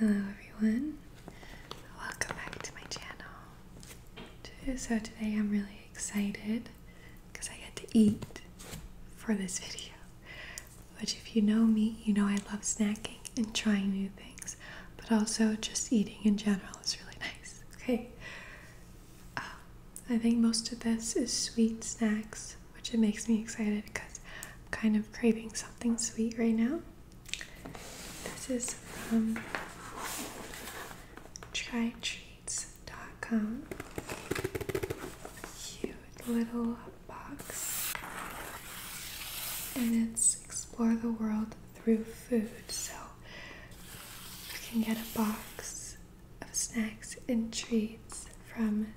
Hello everyone, welcome back to my channel. So today I'm really excited because I get to eat for this video. Which if you know me, you know I love snacking and trying new things, but also just eating in general is really nice. Okay. Um, I think most of this is sweet snacks, which it makes me excited because I'm kind of craving something sweet right now. This is from trytreats.com. Cute little box. And it's explore the world through food. So you can get a box of snacks and treats from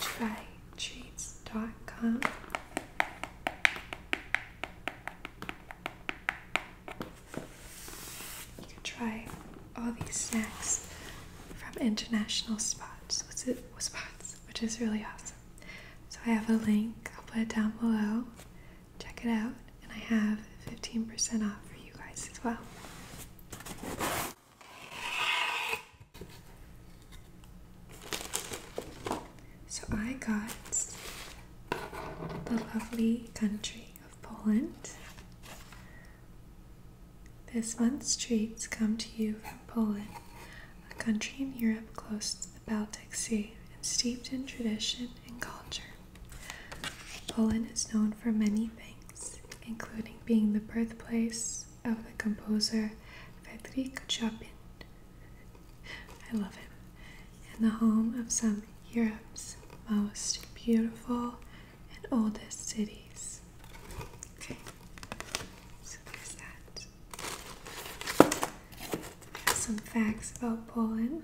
Try shades.com. You can try all these snacks from international spots, spots, which is really awesome. So I have a link. I'll put it down below. Check it out, and I have 15% off for you guys as well. So I got the lovely country of Poland. This month's treats come to you from Poland, a country in Europe close to the Baltic Sea and steeped in tradition and culture. Poland is known for many things, including being the birthplace of the composer Frederic Chopin. I love him. And the home of some Europe's most beautiful and oldest cities. Okay, so there's that. some facts about Poland.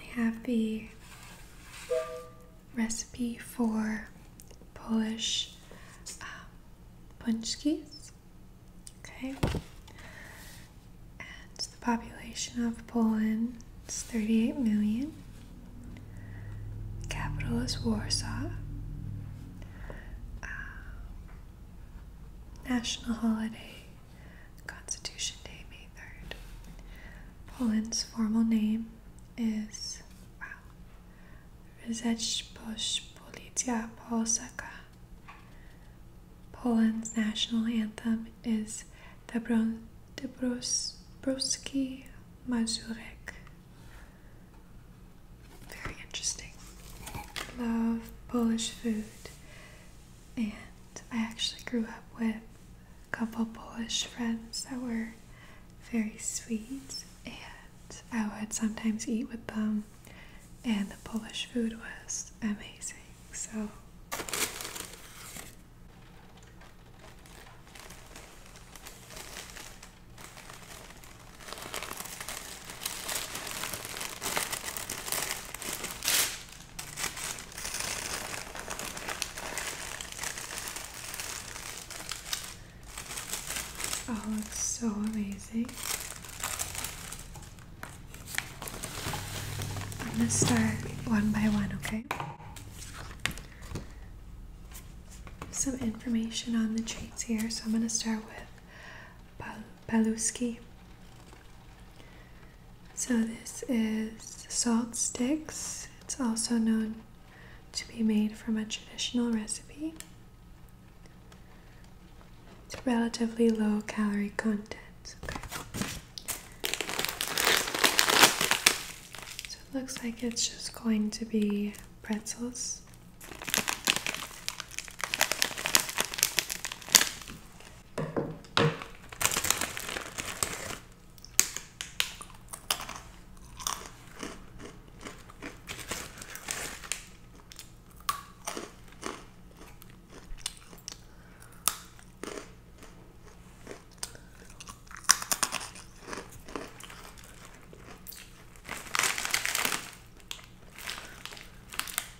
They have the recipe for Polish um, Punchkis. Okay. And the population of Poland is 38 million. Capital is Warsaw. Um, national holiday, Constitution Day, May 3rd. Poland's formal name is Rzeczpospolita Politia Polska. Poland's national anthem is Dobrowski Mazurek. Very interesting. Love Polish food. And I actually grew up with a couple Polish friends that were very sweet and I would sometimes eat with them, and the Polish food was amazing. So, Oh, it's so amazing. I'm gonna start one by one, okay? Some information on the treats here, so I'm gonna start with Bal So this is salt sticks. It's also known to be made from a traditional recipe. It's relatively low calorie content. So it looks like it's just going to be pretzels.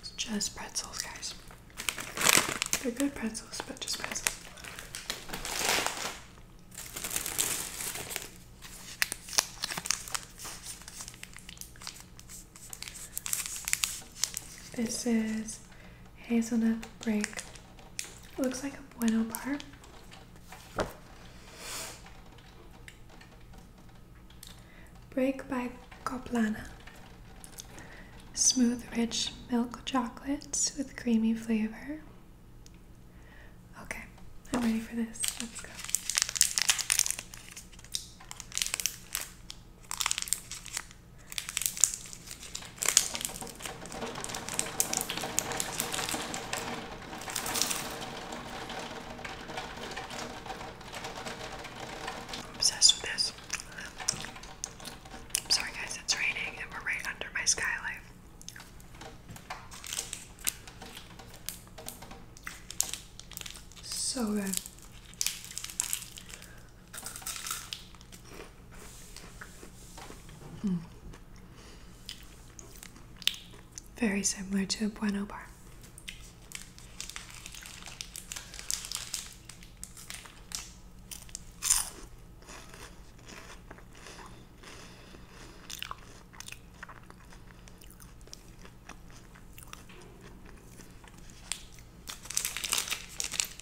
It's just pretzels, guys. They're good pretzels, but just pretzels. This is hazelnut break. looks like a bueno bar. Break by Coplana. Smooth, rich milk chocolates with creamy flavor, Okay, I'm ready for this. Let's go. obsessed with this. Sorry, guys, it's raining and we're right under my skylight. So good. Mm. Very similar to a Bueno bar.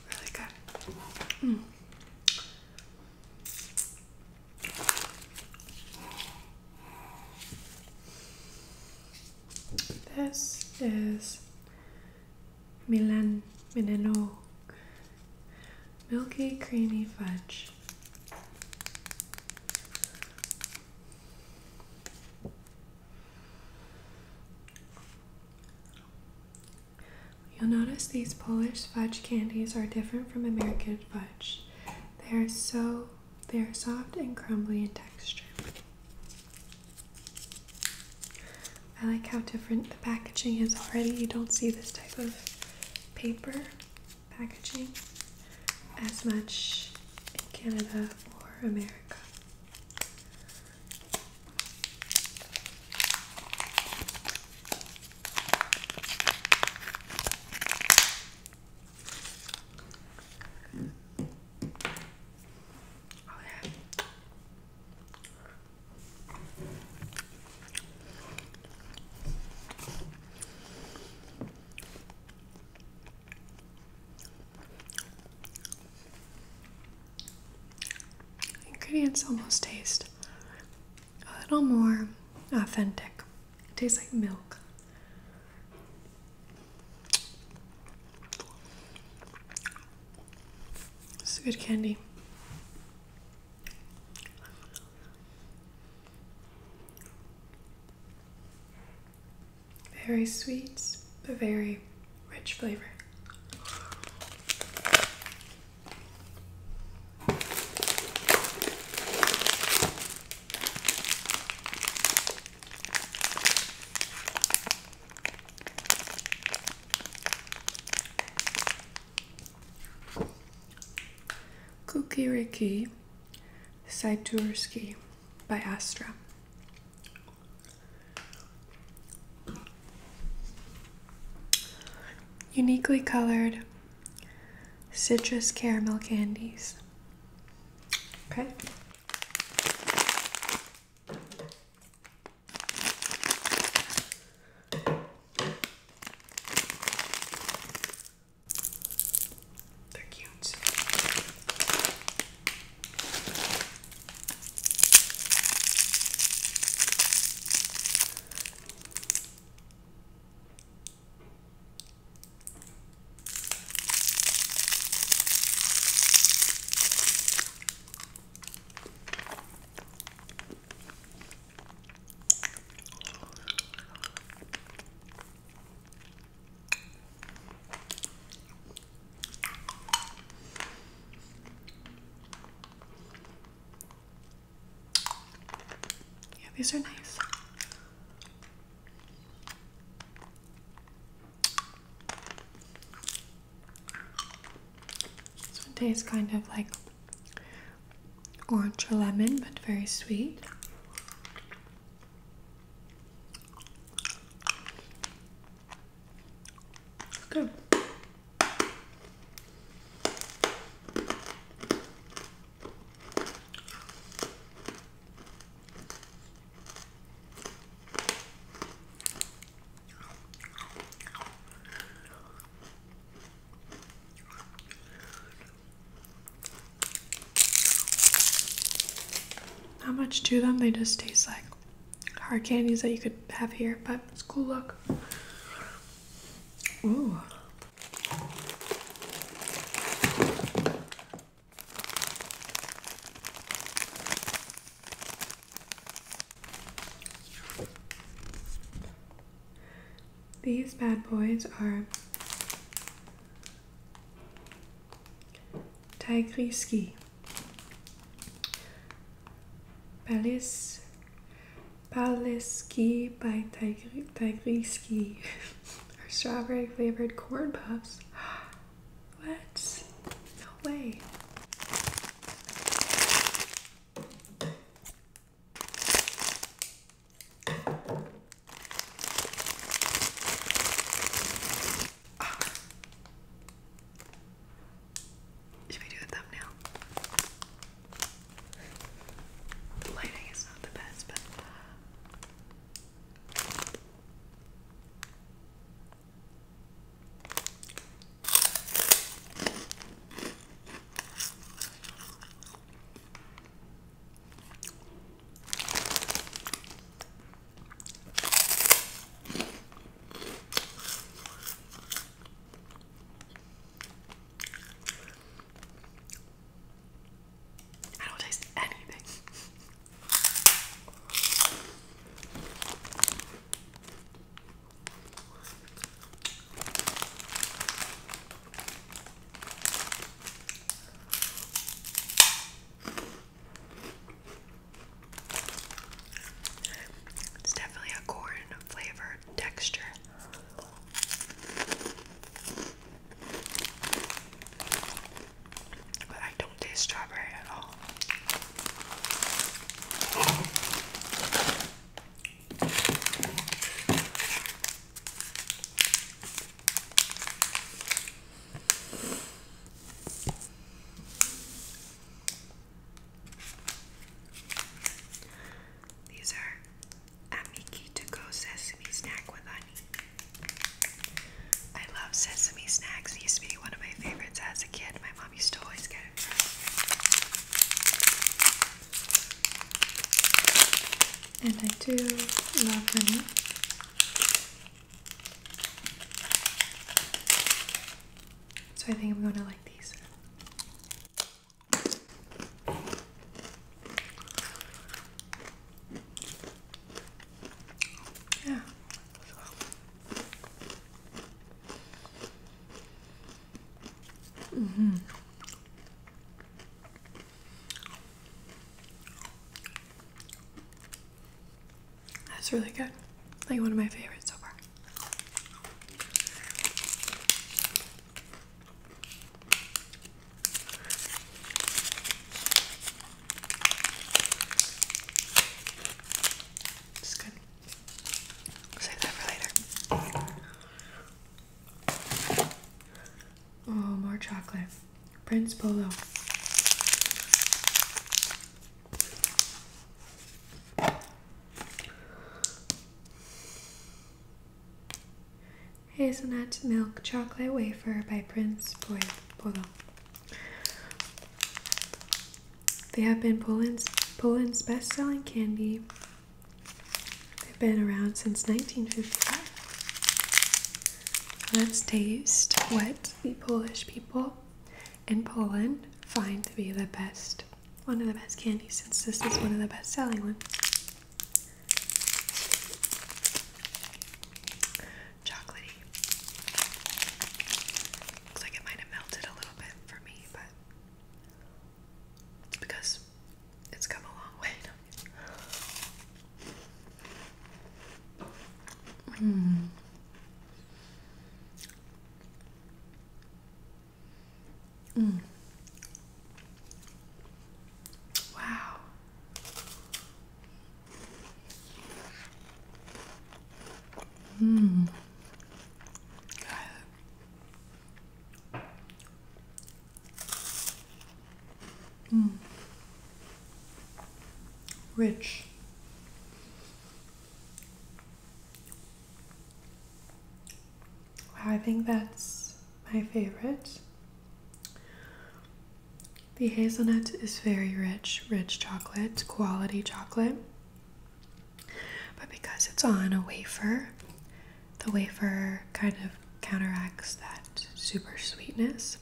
Really good. Mm. This is Milan Mineno Milky creamy fudge. You'll notice these Polish fudge candies are different from American fudge. They are so they are soft and crumbly in texture. I like how different the packaging is already. You don't see this type of paper packaging as much in Canada or America. Oh, yeah. Ingredients almost taste a little more authentic. It tastes like milk. It's good candy. Very sweet, but very rich flavor. Kukiriki Saitursky by Astra. Uniquely colored citrus caramel candies. Okay. They're cute. Yeah, these are nice. This one tastes kind of like Orange or lemon, but very sweet. Good. Not much to them, they just taste like hard candies that you could have here, but it's cool look. Ooh. These bad boys are Tigriski, Palis, Paliski by Tigri, Tigriski, are strawberry flavored corn puffs. what? No way. Oh. Should we do a thumbnail? The lighting is not the best, but. I don't taste anything. It's definitely a corn flavored texture. But I don't taste strawberry at all. These are Amiki go sesame snack with honey. I love sesame snacks. used to be one of my favorites as a kid. My I used to always get it from. And I do love honey. So I think I'm going to like these. Yeah. Mm -hmm. That's really good. Like one of my favorites so far. It's good. Save that for later. Oh, more chocolate. Prince Polo. Hazelnut Milk Chocolate Wafer by Prince Polo. They have been Poland's, Poland's best selling candy They've been around since 1955. Let's taste what the Polish people in Poland find to be the best, one of the best candies, since this is one of the best selling ones. Chocolatey. Looks like it might have melted a little bit for me, but because it's come a long way. Hmm. Mm. Wow. Hmm. Mm. Rich. Wow, I think that's my favorite. The hazelnut is very rich, rich chocolate, quality chocolate. But because it's on a wafer, the wafer kind of counteracts that super sweetness.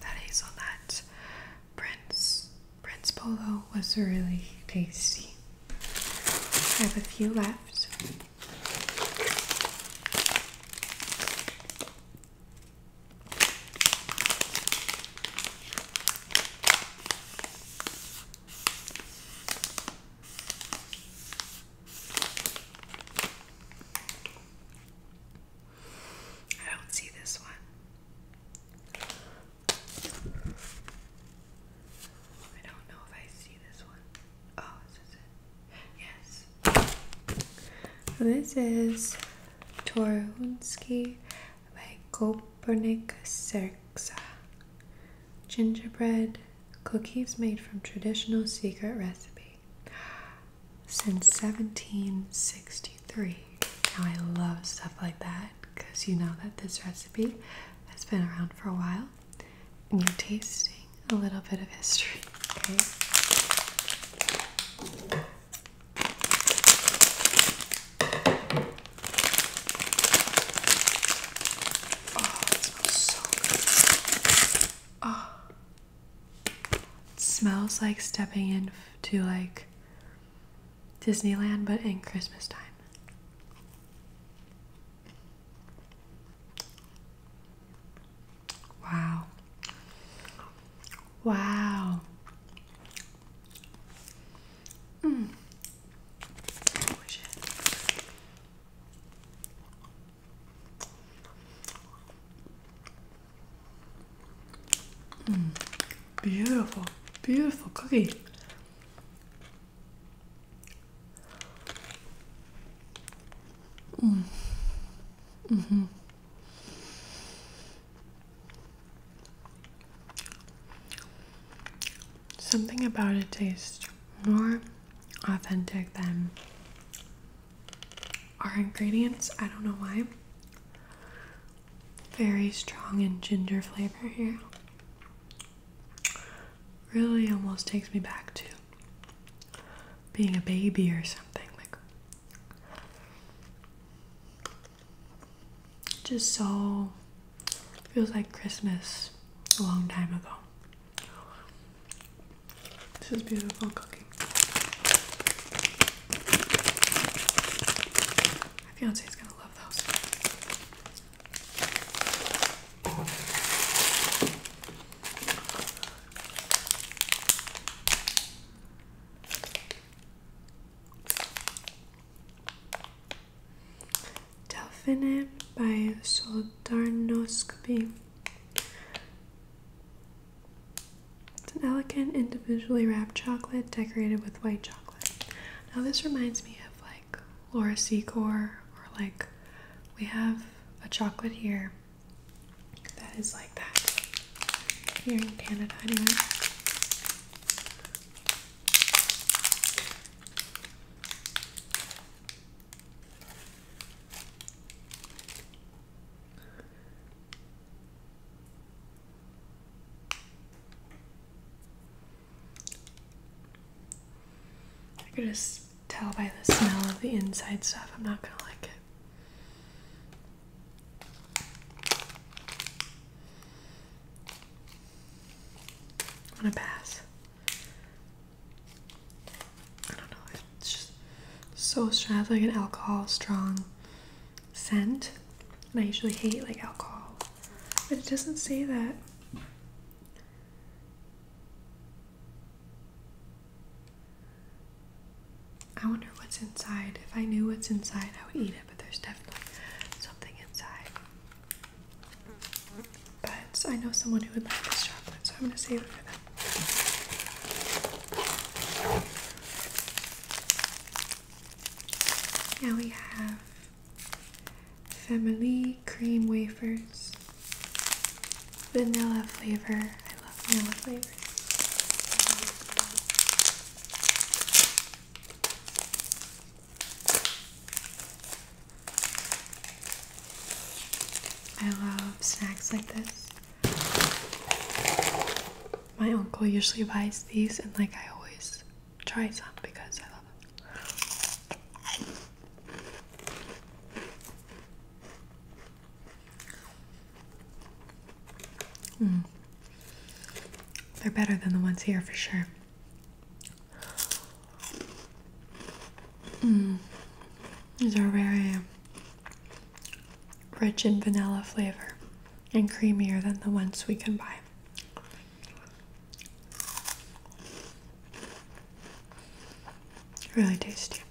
That hazelnut Prince Prince Polo was really tasty. I have a few left. I don't see this one. I don't know if I see this one. Oh, this is Yes. This is Torunski by Kopernik Serksa. Gingerbread cookies made from traditional secret recipe since 1763. Now I love stuff like that because you know that this recipe has been around for a while you're tasting a little bit of history, okay? Oh, it smells so good. Oh. smells like stepping into like Disneyland but in Christmas time. Wow. Wow. Mm. Beautiful, beautiful cookie. Mm. Mm hmm Something about it tastes more authentic than our ingredients. I don't know why. Very strong and ginger flavor here. Really almost takes me back to being a baby or something like just so feels like Christmas a long time ago. This is beautiful cooking. My is gonna love those. Delphine by Soldarnoscopy. It's an elegant, individually wrapped chocolate decorated with white chocolate. Now, this reminds me of like Laura Secor, or like we have a chocolate here that is like that here in Canada anyway. I can just tell by the smell of the inside stuff. I'm not gonna like it. I'm gonna pass. I don't know. It's just so strong. It's like an alcohol strong scent, and I usually hate like alcohol, but it doesn't say that. I wonder what's inside. If I knew what's inside, I would eat it, but there's definitely something inside. But I know someone who would like this chocolate, so I'm gonna save it for them. Now we have family cream wafers vanilla flavor. I love vanilla flavor. I love snacks like this. My uncle usually buys these, and like I always try some because I love them. Mm. They're better than the ones here for sure. Mm. These are very rich in vanilla flavor and creamier than the ones we can buy. Really tasty.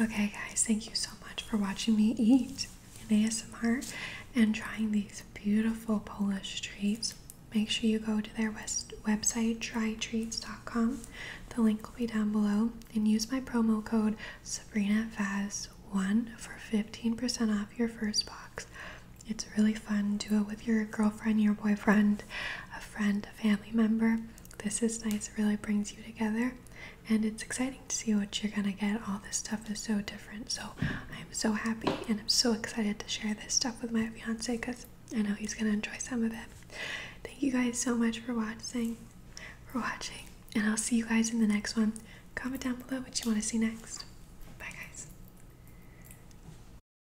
Okay, guys, thank you so much for watching me eat in ASMR and trying these beautiful Polish treats. Make sure you go to their west website, trytreats.com. The link will be down below. And use my promo code SabrinaFaz1 for 15% off your first box. It's really fun. Do it with your girlfriend, your boyfriend, friend, a family member. This is nice, it really brings you together. And it's exciting to see what you're gonna get. All this stuff is so different. So I'm so happy and I'm so excited to share this stuff with my fiance because I know he's gonna enjoy some of it. Thank you guys so much for watching for watching. And I'll see you guys in the next one. Comment down below what you want to see next. Bye guys.